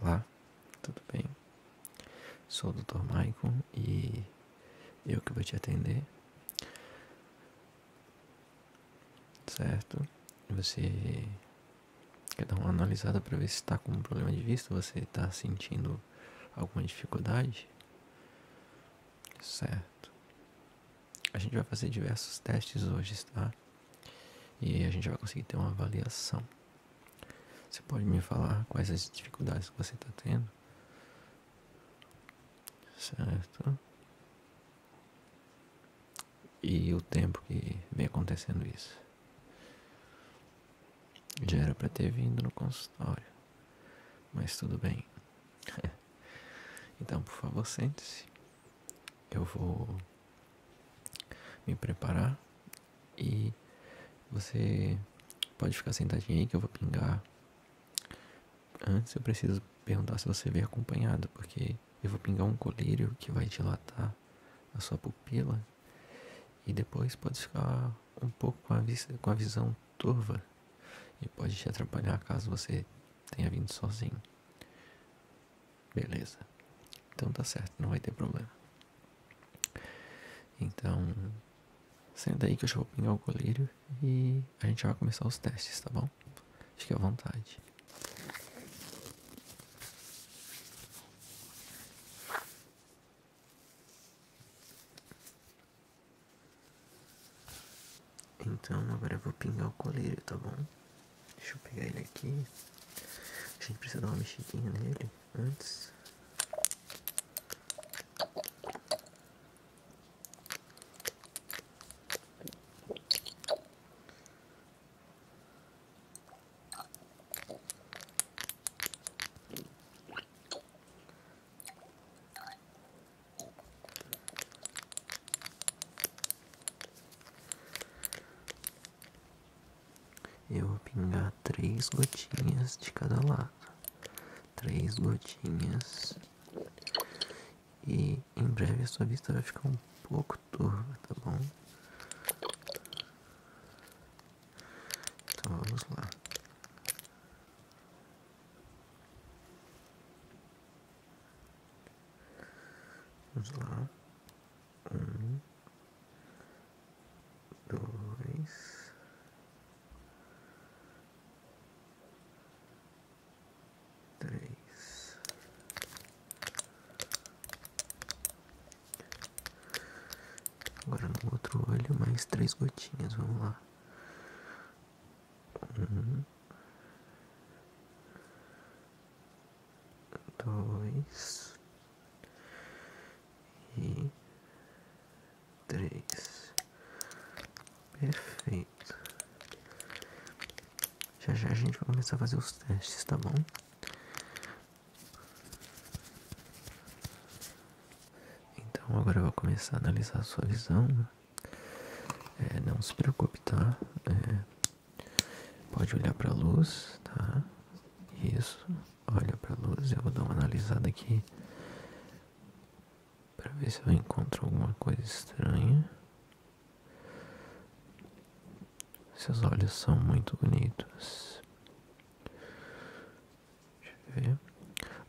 Olá, tudo bem? Sou o Dr. Maicon e eu que vou te atender. Certo? Você quer dar uma analisada para ver se está com um problema de vista, você está sentindo alguma dificuldade? Certo. A gente vai fazer diversos testes hoje, tá? E a gente vai conseguir ter uma avaliação. Você pode me falar quais as dificuldades que você está tendo? Certo. E o tempo que vem acontecendo isso. Já era para ter vindo no consultório, mas tudo bem. então, por favor, sente-se. Eu vou me preparar e você pode ficar sentadinho aí que eu vou pingar. Antes eu preciso perguntar se você veio acompanhado, porque eu vou pingar um colírio que vai dilatar a sua pupila e depois pode ficar um pouco com a, vista, com a visão turva e pode te atrapalhar caso você tenha vindo sozinho. Beleza. Então tá certo, não vai ter problema. Então, senta aí que eu já vou pingar o colírio e a gente vai começar os testes, tá bom? Fique à vontade. Então agora eu vou pingar o colírio, tá bom? Deixa eu pegar ele aqui. A gente precisa dar uma mexidinha nele antes. Eu vou pingar três gotinhas de cada lado, três gotinhas, e em breve a sua vista vai ficar um pouco turva, tá bom? Então vamos lá. Vamos lá. Um, dois, três, Agora no outro olho, mais três gotinhas. Vamos lá. Um, dois e três. Perfeito. Já já a gente vai começar a fazer os testes, tá bom? Então agora eu vou começar a analisar a sua visão. É, não se preocupe, tá? É, pode olhar para a luz, tá? Isso. Olha para a luz. Eu vou dar uma analisada aqui para ver se eu encontro alguma coisa estranha. Seus olhos são muito bonitos. Deixa eu ver.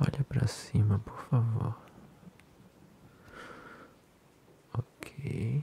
Olha para cima, por favor. Ok.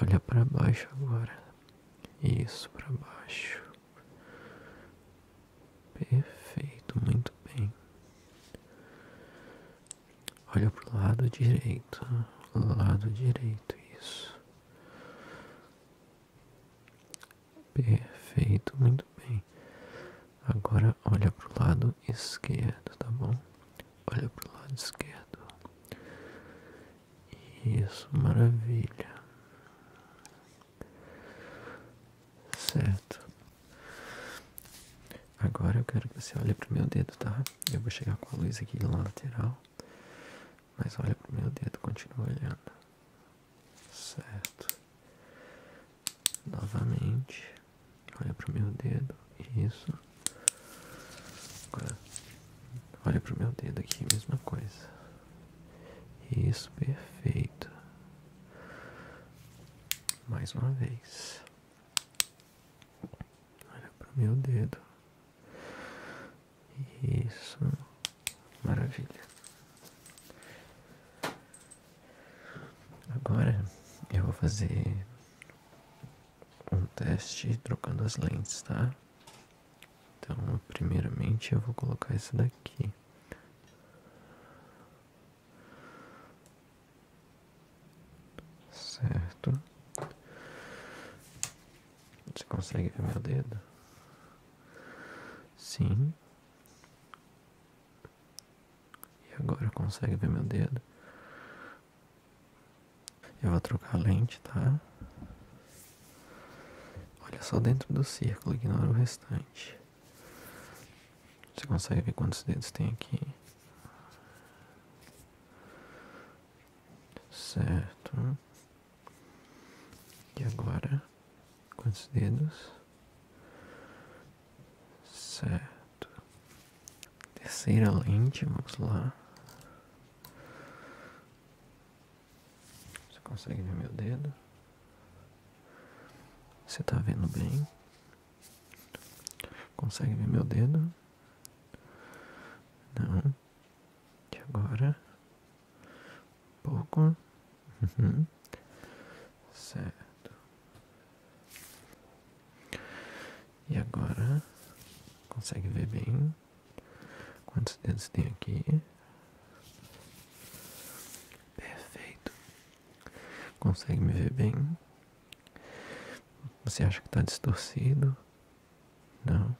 Olha para baixo agora. Isso, para baixo. Perfeito, muito bem. Olha para o lado direito, lado direito, isso. Perfeito, muito bem. Agora olha para o lado esquerdo, tá bom? Olha para o lado esquerdo. Isso, maravilha. Certo. Agora eu quero que você olhe para o meu dedo, tá? Eu vou chegar com a luz aqui na lateral. Mas olha para o meu dedo, continua olhando. Certo. Novamente. Olha para o meu dedo. Isso. Agora. Olha o meu dedo aqui, mesma coisa. Isso, perfeito. Mais uma vez. Olha para o meu dedo. Isso. Maravilha. Agora eu vou fazer um teste trocando as lentes, tá? Então, primeiramente eu vou colocar esse daqui. Certo. Você consegue ver meu dedo? Sim. E agora consegue ver meu dedo? Eu vou trocar a lente, tá? Olha só dentro do círculo, ignora o restante. Você consegue ver quantos dedos tem aqui? Certo. E agora quantos dedos. Certo. Terceira lente, vamos lá. Você consegue ver meu dedo? Você tá vendo bem? Consegue ver meu dedo? Não. E agora? Um pouco. Uhum. Certo. E agora? Consegue ver bem? Quantos dedos tem aqui? Perfeito. Consegue me ver bem? Você acha que está distorcido? Não.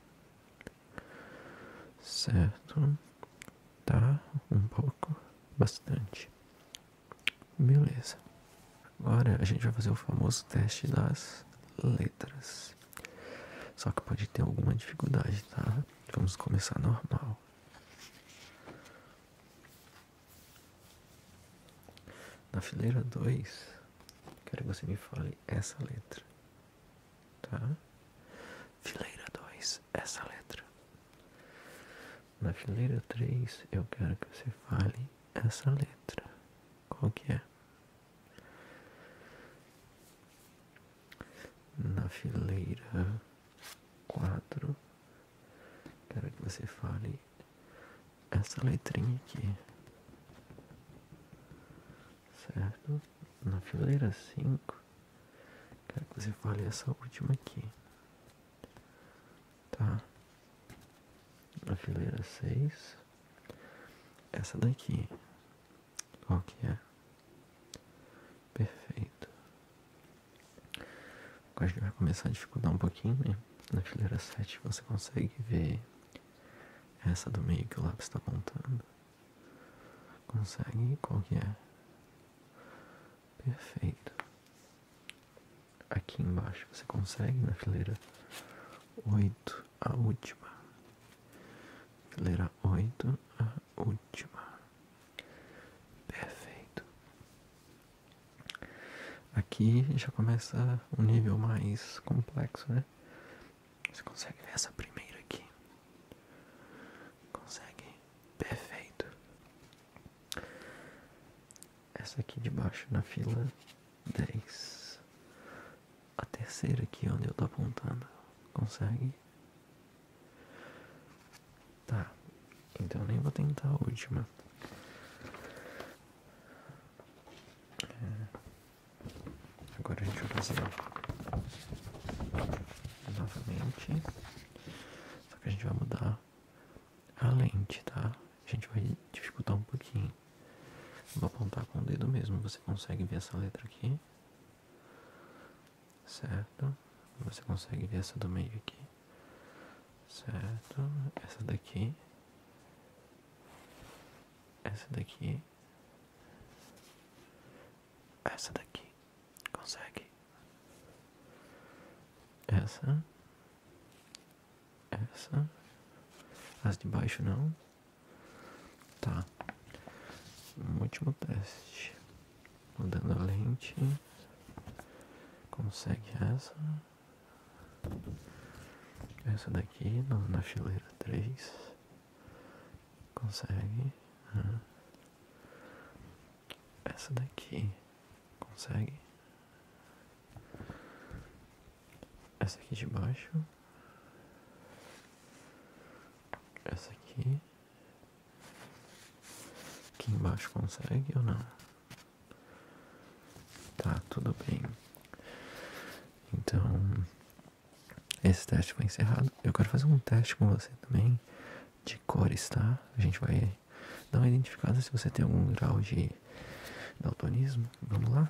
Certo. Tá um pouco, bastante. Beleza. Agora a gente vai fazer o famoso teste das letras. Só que pode ter alguma dificuldade, tá? Vamos começar normal. Na fileira 2, quero que você me fale essa letra, tá? Fileira 2, essa letra. Na fileira 3, eu quero que você fale essa letra. Qual que é? Na fileira quadro. Quero que você fale essa letrinha aqui. Certo? Na fileira 5, quero que você fale essa última aqui. Tá? Na fileira 6, essa daqui. Qual que é? Perfeito. Acho que vai começar a dificultar um pouquinho, né? Na fileira 7 você consegue ver essa do meio que o lápis está apontando. Consegue? Qual que é? Perfeito. Aqui embaixo você consegue na fileira 8, a última. Fileira 8, a última. Perfeito. Aqui já começa um nível mais complexo, né? Você consegue ver essa primeira aqui? Consegue? Perfeito. Essa aqui de baixo na fila 10. A terceira aqui onde eu tô apontando. Consegue? Tá, então nem vou tentar a última. É, agora a gente vai fazer novamente. Só que a gente vai mudar a lente, tá? A gente vai dificultar um pouquinho. Vou apontar com o dedo mesmo. Você consegue ver essa letra aqui? certo? Você consegue ver essa do meio aqui, certo? Essa daqui, essa daqui, essa daqui, consegue? Essa, essa, as de baixo não, tá? último teste mudando a lente, consegue essa, essa daqui na, na fileira 3, consegue, essa daqui, consegue, essa aqui de baixo, essa aqui, Aqui embaixo consegue ou não? Tá, tudo bem. Então, esse teste foi encerrado. Eu quero fazer um teste com você também de cores, tá? A gente vai dar uma identificada se você tem algum grau de daltonismo. Vamos lá?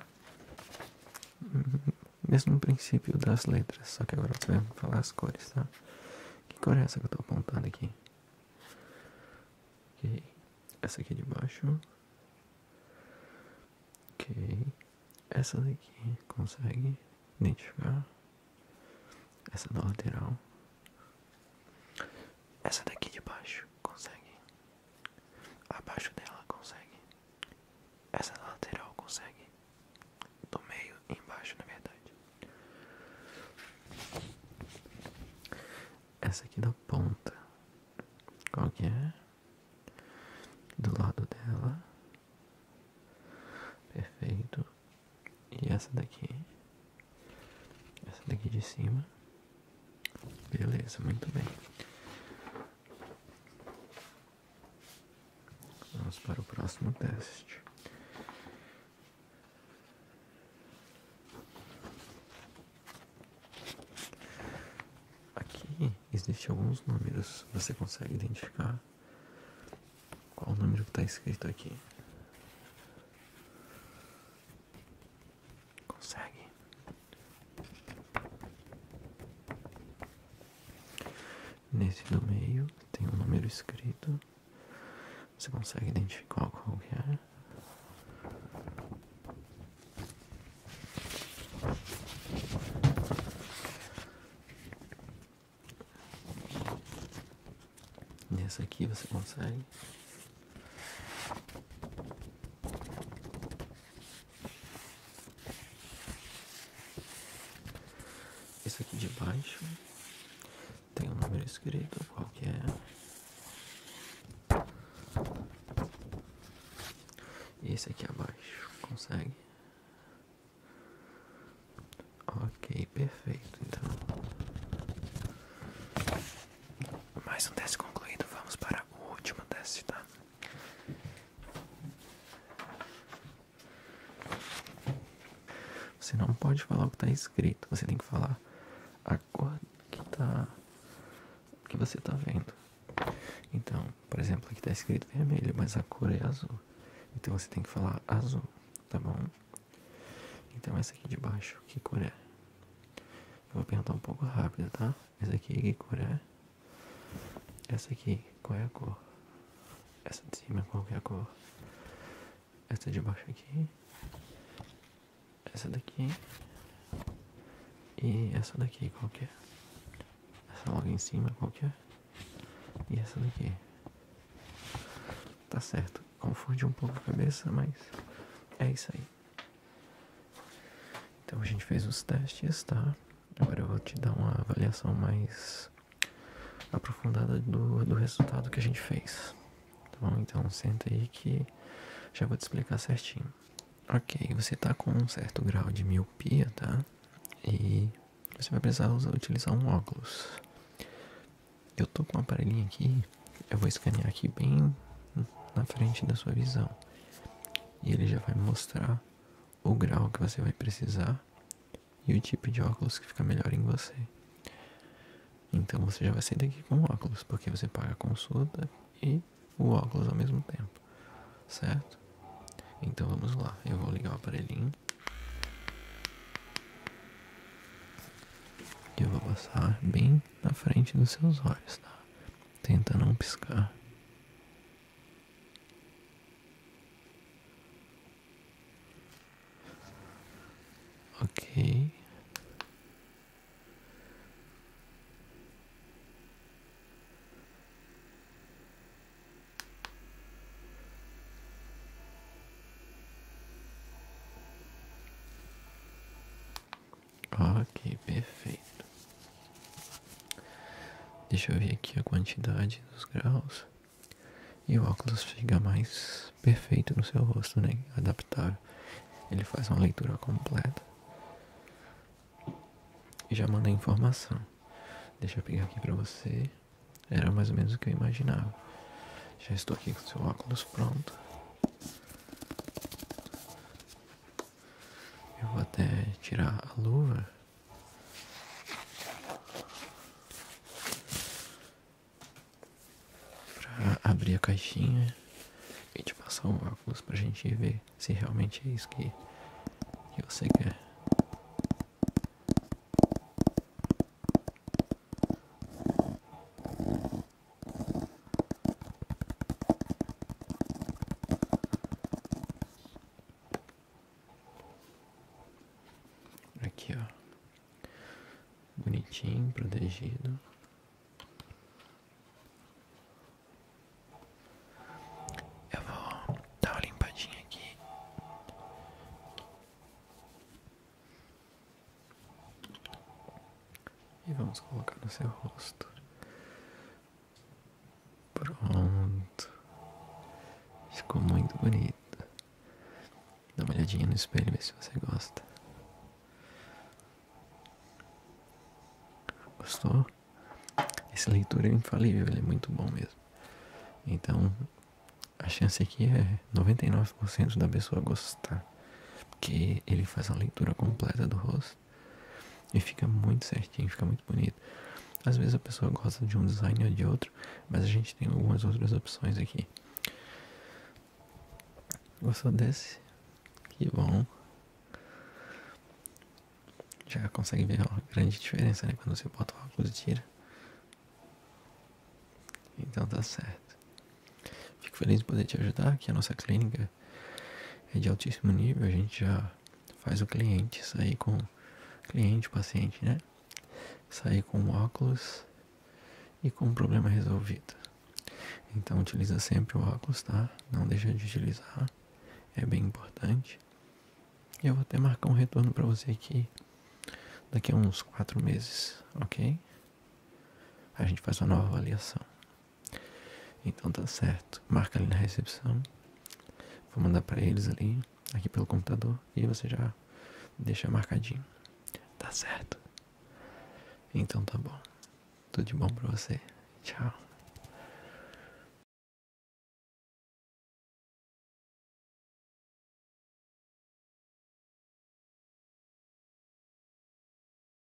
Mesmo princípio das letras, só que agora você vai falar as cores, tá? Que cor é essa que eu estou apontando aqui? Ok. Essa aqui é de baixo. Ok. Essa daqui consegue identificar. Essa da lateral. Essa daqui de baixo consegue. Abaixo dela consegue. Essa da lateral consegue do meio embaixo na verdade essa aqui da ponta qual que é do lado dela perfeito e essa daqui essa daqui de cima beleza muito bem Vamos para o próximo teste. Aqui existem alguns números. Você consegue identificar qual o número que está escrito aqui? Consegue? Nesse do meio tem um número escrito. Você consegue identificar qual é? Nessa aqui você consegue. Esse aqui de baixo tem um número escrito, qual que é? E esse aqui abaixo, consegue? Ok, perfeito, então. Mais um teste concluído, vamos para o último teste, tá? Você não pode falar o que está escrito, você tem que falar a cor que, tá, que você está vendo. Então, por exemplo, aqui está escrito vermelho, mas a cor é azul. Então você tem que falar azul, tá bom? Então essa aqui de baixo, que cor é? Eu vou perguntar um pouco rápido, tá? Essa aqui, que cor é? Essa aqui, qual é a cor? Essa de cima, qual é a cor? Essa de baixo aqui. Essa daqui. E essa daqui, qual que é? Essa logo em cima, qual que é? E essa daqui. Tá certo. Confunde um pouco a cabeça, mas é isso aí. Então a gente fez os testes, tá? Agora eu vou te dar uma avaliação mais aprofundada do, do resultado que a gente fez. Tá bom? Então senta aí que já vou te explicar certinho. Ok, você tá com um certo grau de miopia, tá? E você vai precisar usar, utilizar um óculos. Eu tô com um aparelhinho aqui, eu vou escanear aqui bem na frente da sua visão. E ele já vai mostrar o grau que você vai precisar e o tipo de óculos que fica melhor em você. Então você já vai sair daqui com óculos, porque você paga a consulta e o óculos ao mesmo tempo, certo? Então vamos lá, eu vou ligar o aparelhinho. E eu vou passar bem na frente dos seus olhos, tá? Tenta não piscar. Ok. Ok, perfeito. Deixa eu ver aqui a quantidade dos graus. E o óculos fica mais perfeito no seu rosto, né? Adaptável. Ele faz uma leitura completa. E já mandei informação. Deixa eu pegar aqui pra você. Era mais ou menos o que eu imaginava. Já estou aqui com o seu óculos pronto. Eu vou até tirar a luva. para abrir a caixinha e te passar um óculos pra gente ver se realmente é isso que, que você quer. Aqui, ó. Bonitinho, protegido. Eu vou dar uma limpadinha aqui. E vamos colocar no seu rosto. Pronto. Ficou muito bonito. Dá uma olhadinha no espelho, ver se você gosta. Gostou? essa leitura é infalível, é muito bom mesmo. Então, a chance aqui é 99% da pessoa gostar, porque ele faz a leitura completa do rosto. E fica muito certinho, fica muito bonito. Às vezes a pessoa gosta de um design ou de outro, mas a gente tem algumas outras opções aqui. Gostou desse? Que bom. Já consegue ver uma grande diferença, né? Quando você bota o óculos e tira. Então tá certo. Fico feliz em poder te ajudar, que a nossa clínica é de altíssimo nível, a gente já faz o cliente sair com cliente, paciente, né? Sair com óculos e com o problema resolvido. Então utiliza sempre o óculos, tá? Não deixa de utilizar. É bem importante. E eu vou até marcar um retorno para você aqui daqui a uns quatro meses, ok? A gente faz uma nova avaliação. Então tá certo. Marca ali na recepção. Vou mandar para eles ali, aqui pelo computador. E você já deixa marcadinho. Tá certo. Então tá bom. Tudo de bom pra você. Tchau.